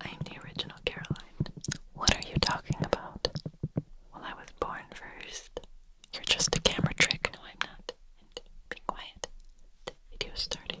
I'm the original Caroline. What are you talking about? Well, I was born first. You're just a camera trick. No, I'm not. be quiet. The video's starting.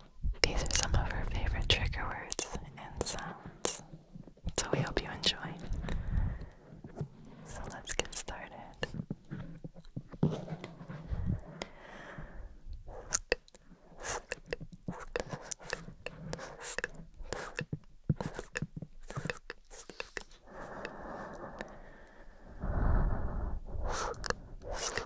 These are some of her favorite trigger words and sounds. So we hope you enjoy. So let's get started.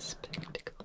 Spectacle.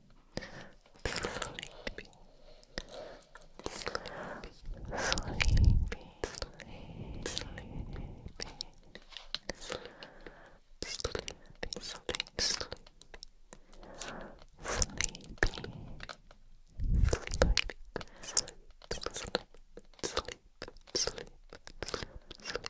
sleepy, sleepy, sleepy, sleepy, sleepy, sleepy. Sleepy, sleep, sleep, sleep, sleep, sleep, sleep, sleep,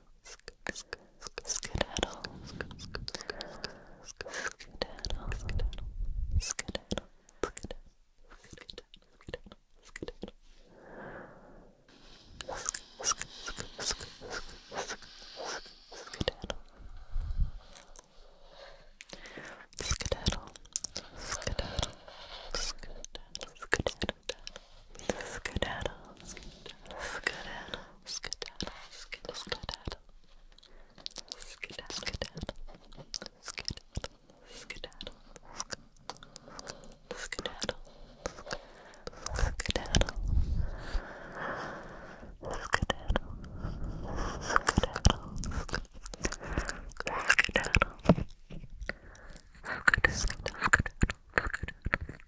skedaddle, skedaddle, skedaddle, skedaddle, skedaddle, skedaddle, skedaddle, skedaddle, skedaddle, skedaddle, skedaddle, skedaddle, skedaddle, skedaddle, skedaddle, skedaddle, skedaddle, skedaddle, skedaddle, skedaddle, skedaddle, skedaddle,